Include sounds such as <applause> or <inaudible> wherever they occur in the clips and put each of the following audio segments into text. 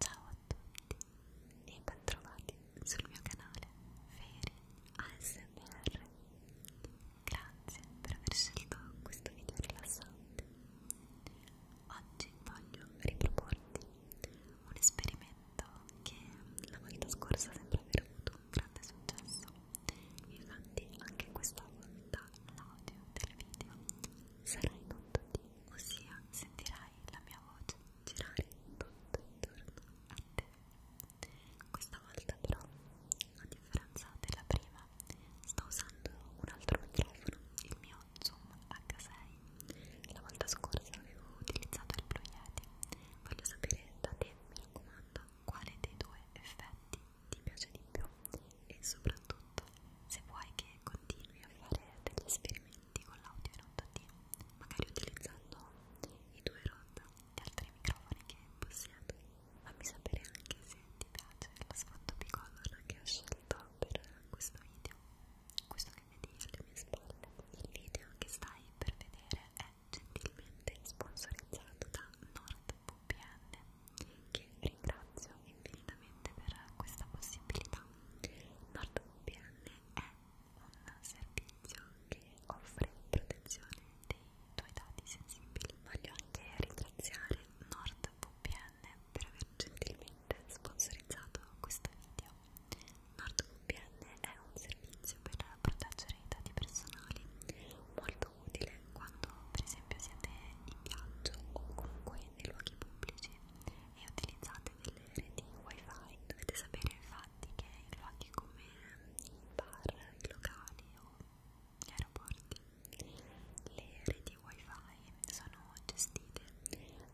Ciao a tutti e ben trovati sul mio canale Feri ASMR. Grazie per aver scelto questo video rilassante. Oggi voglio riproporti un esperimento che la volta scorsa sembra aver avuto un grande successo infatti anche questa volta l'audio del video sarà in 8D ossia sentirai la mia voce girare tutto intorno a te questa volta però a differenza della prima sto usando un altro microfono il mio Zoom H6 la volta scorsa avevo utilizzato il Blue Yeti voglio sapere da te mi raccomando quale dei due effetti ti piace di più e soprattutto se vuoi che continui a fare degli esperimenti con l'audio in 8D magari utilizzando i due ROD e altri microfoni che possiedo fammi sapere anche se ti piace lo sfondo bicolor che ho scelto per questo video questo che vedi alle mie spalle il video che stai per vedere è gentilmente sponsorizzato da NordVPN che ringrazio infinitamente per questa possibilità. NordVPN è un servizio che offre protezione dei tuoi dati sensibili. Voglio anche ringraziare NordVPN per aver gentilmente sponsorizzato questo video. NordVPN VPN è un servizio per proteggere i dati personali molto utile quando per esempio siete in viaggio o comunque nei luoghi pubblici e utilizzate delle reti wifi dovete sapere infatti che in luoghi come i bar, i locali o gli aeroporti le reti wifi sono gestite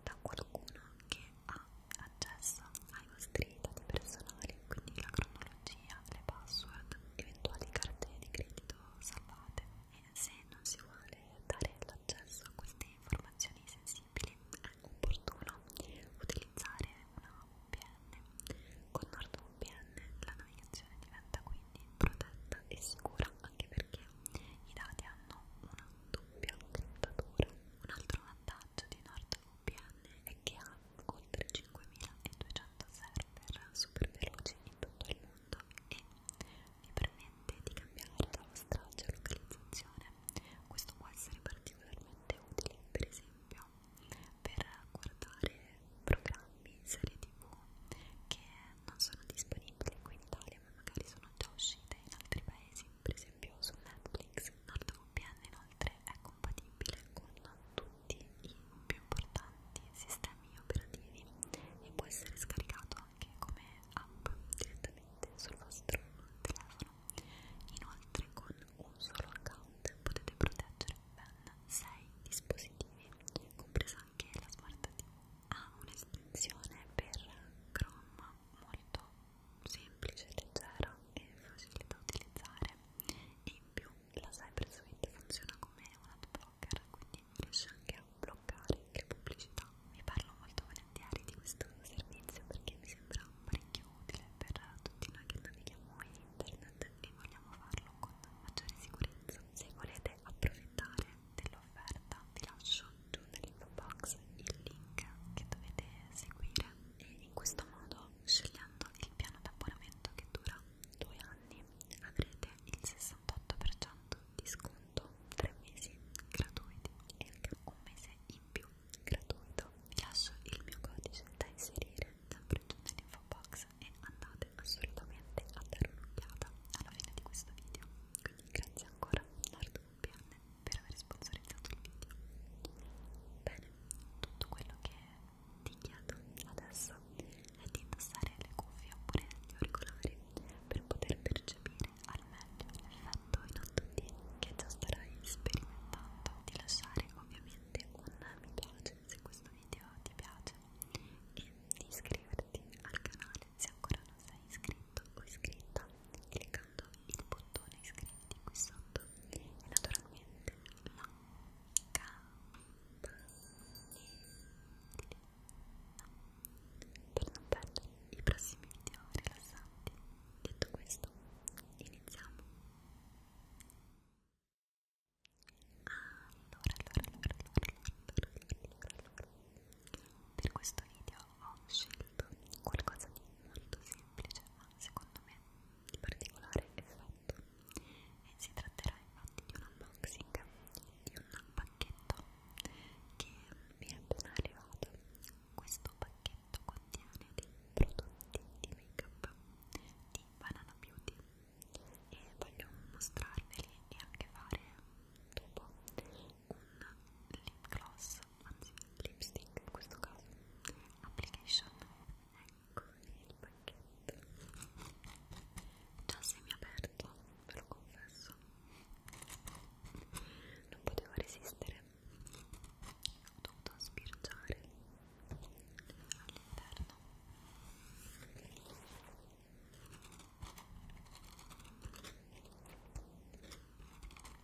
da qualcuno che ha accesso ai nostri dati personali, quindi la cronologia, le password, eventuali cartelle di credito salvate e se non si vuole dare l'accesso a queste informazioni sensibili è opportuno utilizzare una VPN. Con NordVPN la navigazione diventa quindi protetta e sicura anche perché i dati hanno una doppia criptatura. Un altro vantaggio di NordVPN VPN e che ha oltre 5200 server super veloci in tutto il mondo e vi permette di cambiare la vostra geolocalizzazione. Questo può essere particolarmente utile, per esempio, per guardare programmi, serie tv che non sono disponibili qui in Italia ma magari sono già uscite in altri paesi, per esempio su Netflix NordVPN inoltre è compatibile con tutti i più importanti sistemi operativi e può essere scaricato anche come app direttamente sul vostro telefono. Inoltre con un solo account potete proteggere ben 6 dispositivi, compresa anche la Smart TV. Ha un'estensione per Chrome molto semplice, leggera e facile da utilizzare e in più la Cybersuite funziona come un ad blocker quindi riesce anche a bloccare le pubblicità vi parlo molto volentieri di questo servizio perché mi sembra parecchio utile per tutti noi che navighiamo in internet e vogliamo farlo con maggiore sicurezza se volete approfittare dell'offerta vi lascio giù nell'info box il link che dovete seguire e in questo modo scegliendo anche il piano di abbonamento che dura due anni avrete il 68% di sconto 3 mesi gratuiti e anche un mese in più gratuito vi lascio il mio codice da inserire sempre giù nell'info box e andate assolutamente a dare un'occhiata alla fine di questo video quindi grazie ancora Nardo Pianne per aver sponsorizzato il video. Bene, tutto quello che ti chiedo adesso è di indossare le cuffie oppure gli auricolari per poter percepire al meglio l'effetto in 8D che già starai sperimentando. Di lasciare ovviamente un mi piace se questo video ti piace e di iscriverti al canale se ancora non sei iscritto o iscritta cliccando cliccando il bottone iscritti qui sotto e naturalmente la campanellina per non perdere i prossimi video rilassanti. Detto questo, iniziamo. Allora, allora, allora, allora, allora, allora, allora. Per questo video ho scelto qualcosa di molto semplice ma secondo me di particolare effetto e si tratterà infatti di un unboxing di un pacchetto che mi è appena arrivato questo pacchetto contiene dei prodotti di make up di Banana Beauty e voglio mostrarveli e anche fare dopo un lip gloss, anzi lipstick in questo caso, application, ecco il pacchetto, già semiaperto, ve lo confesso, non potevo resistere, ho dovuto spirgiare all'interno. Ecco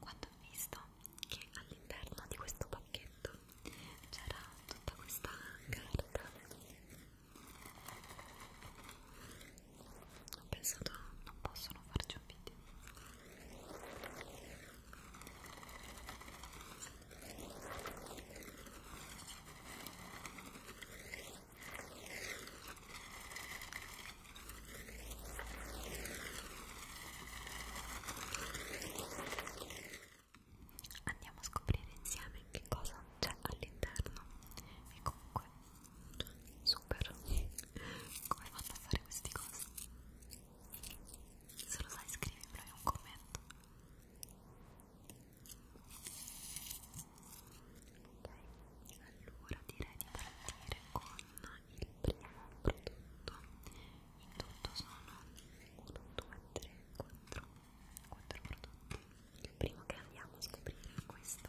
Quando ho visto che all'interno di questo pacchetto c'era tutta questa carta, ho pensato non posso non farci un video. Andiamo a scoprire insieme che cosa c'è all'interno e comunque super come fanno a fare queste cose se lo sai scrivimelo in un commento Ok, allora direi di partire con il primo prodotto. In tutto sono 1, 2, 3, 4, 4 prodotti. Il primo che andiamo a scoprire è questo.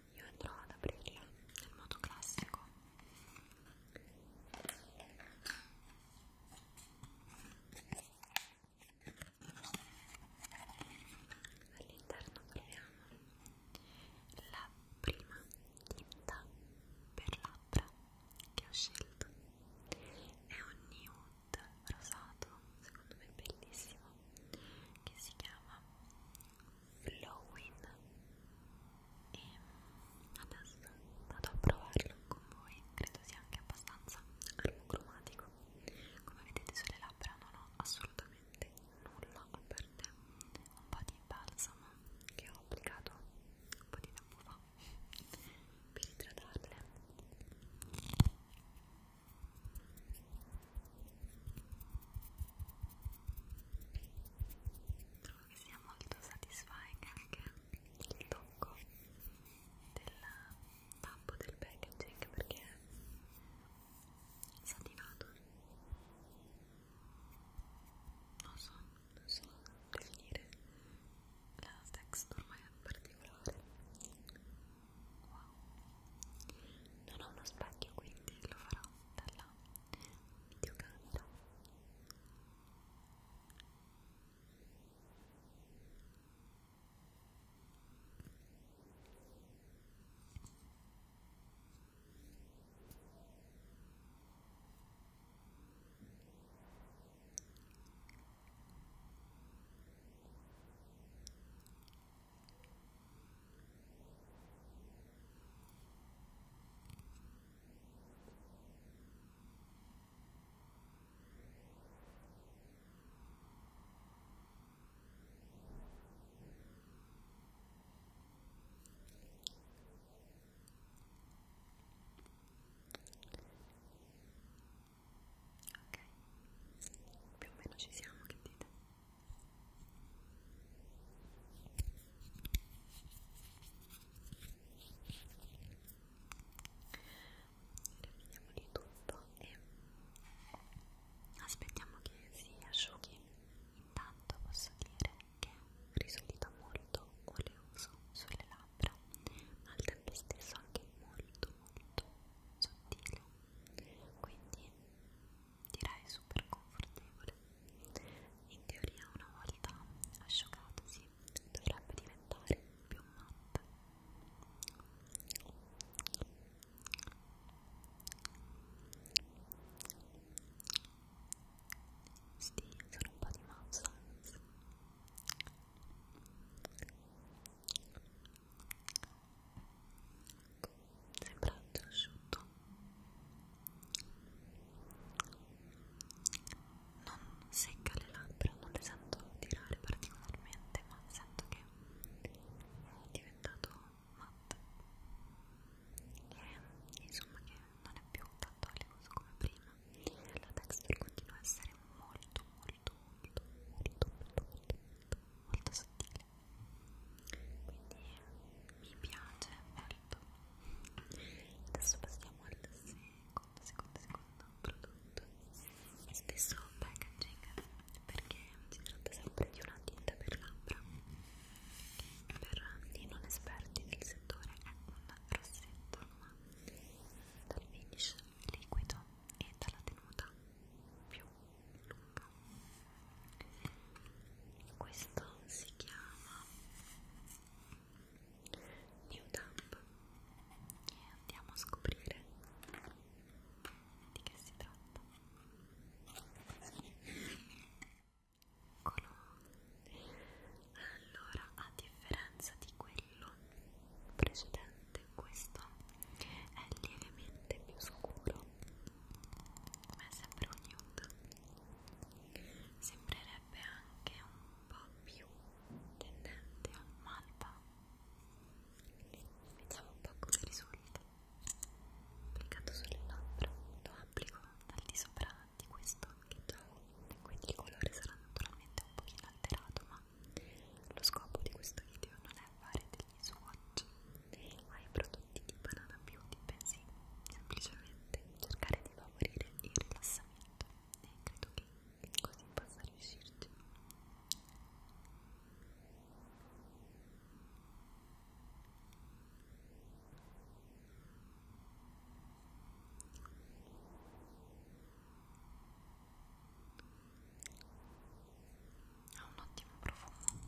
io andrò ad aprirla nel modo classico all'interno troviamo la prima tinta per labbra che ho scelto è un nude rosato secondo me bellissimo che si chiama Flowing e adesso vado a provarlo con voi credo sia anche abbastanza armocromatico come vedete sulle labbra non ho assolutamente nulla a parte un po' di balsamo che ho applicato un po' di tempo fa per idratarle Trovo che sia molto satisfying anche il tocco del tappo del packaging perché è satinato. Non so, non so definire la texture ma è particolare wow non ho uno specchio quindi lo farò dalla videocamera Ok, più o meno ci siamo, che dite? Riempiamo di tutto e aspettiamo che si asciughi. Intanto posso dire che risolita molto oleoso sulle labbra, ma al tempo stesso anche molto molto sottile quindi direi super confortevole in teoria una volta asciugatosi dovrebbe diventare più matte sì, sono un po' di mazza sembra asciutto non secca le labbra non le sento tirare particolarmente ma sento che è diventato matte e insomma che non è più tanto oleoso come prima la texture continua a essere molto molto molto molto molto molto molto, molto sottile quindi mi piace molto adesso passiamo al secondo secondo secondo prodotto e stesso packaging perché si tratta sempre di una tinta per labbra che per i non esperti del settore è un rossetto ma dal finish liquido e dalla tenuta più lunga questo si chiama New Dump e andiamo a scoprire di che si tratta Eccolo. allora a differenza di quelli pennello precedente questo è lievemente più scuro ma è sempre un nude sembrerebbe anche un po' più tendente a un malva vediamo un po' come risulta applicato sulle labbra lo applico al di sopra di questo che già ho quindi il colore sarà naturalmente un pochino alterato ma ma lo scopo di questo video non è fare degli swatch ai prodotti di Banana Beauty, bensì semplicemente cercare di favorire il rilassamento e credo che così possa riuscirci. Ora ha un ottimo profumo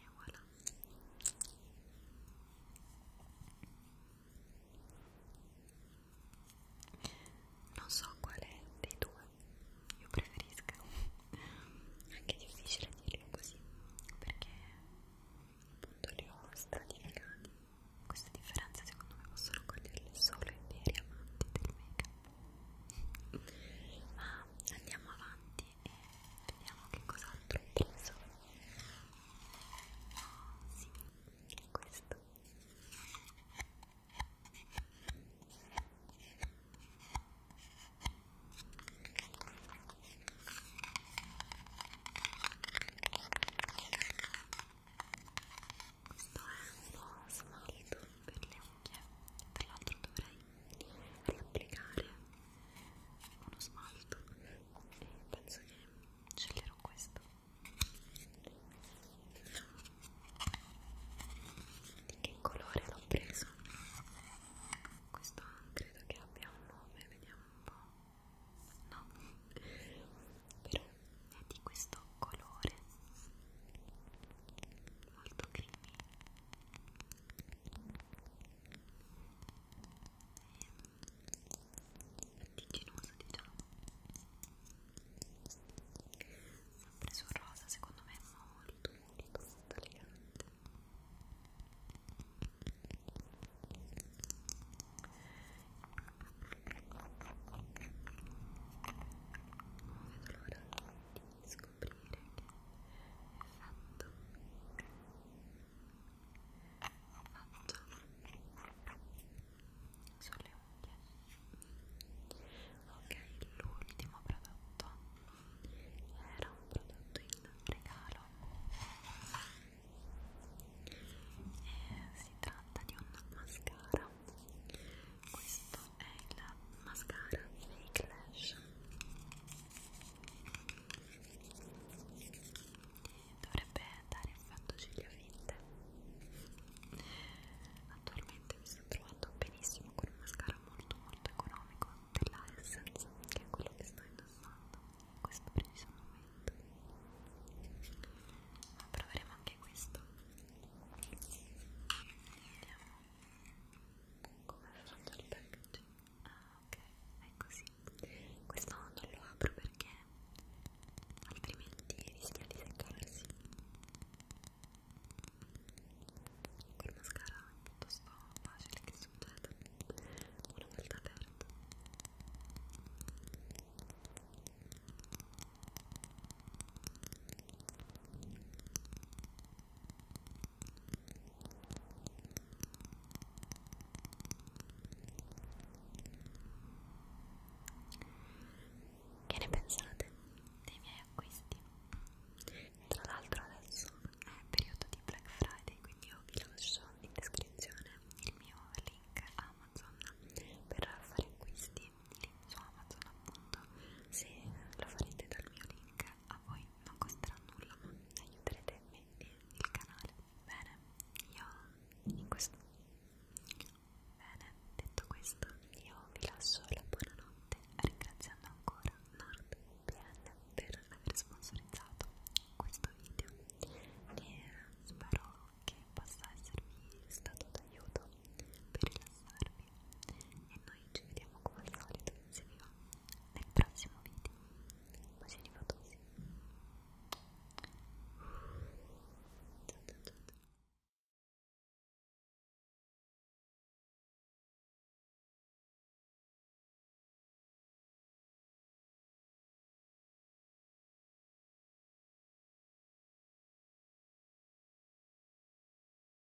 e voilà non so quale dei due io preferisco <laughs> anche difficile dirlo così perché appunto li ho stratificati queste differenze secondo me possono coglierle solo i veri amanti del make up <laughs> ma andiamo avanti e vediamo che cos'altro ho preso sì, questo questo è un po' smalto per le unghie, tra l'altro dovrei riapplicare uno smalto e penso che sceglierò questo di che colore l'ho preso? questo credo che abbia un nome vediamo un po' no però è di questo colore molto creamy Antigenosa diciamo sempre sul rosa secondo me è molto molto molto elegante non vedo l'ora di scoprire dire che essendo fatto sulle unghie ok l'ultimo prodotto era un prodotto in regalo e si tratta di un mascara questo è il mascara Fake Lash dovrebbe dare effetto ciglia fitte attualmente mi sto trovando benissimo con un mascara molto molto economico della Essence che è quello che sto indossando in questo preciso momento ma proveremo anche questo vediamo come faccio il packaging Ah, ok, è così. Questo non lo apro perché altrimenti rischia di seccarsi. Col mascara è piuttosto facile che succeda una volta aperto. Ok, che ne pensate dei miei acquisti? Tra l'altro adesso è periodo di Black Friday, quindi io vi lascio in descrizione il mio link Amazon per fare acquisti lì su Amazon appunto. Se lo farete dal mio link a voi non costerà nulla ma aiuterete me e il canale bene io in questo bene detto questo io vi lascio la buonanotte ringraziando ancora NordVPN per aver sponsorizzato questo video e spero che possa esservi stato d'aiuto per rilassarvi e noi ci vediamo come al solito se vi va nel prossimo video bacini fatosi ciao ciao ciao, ciao.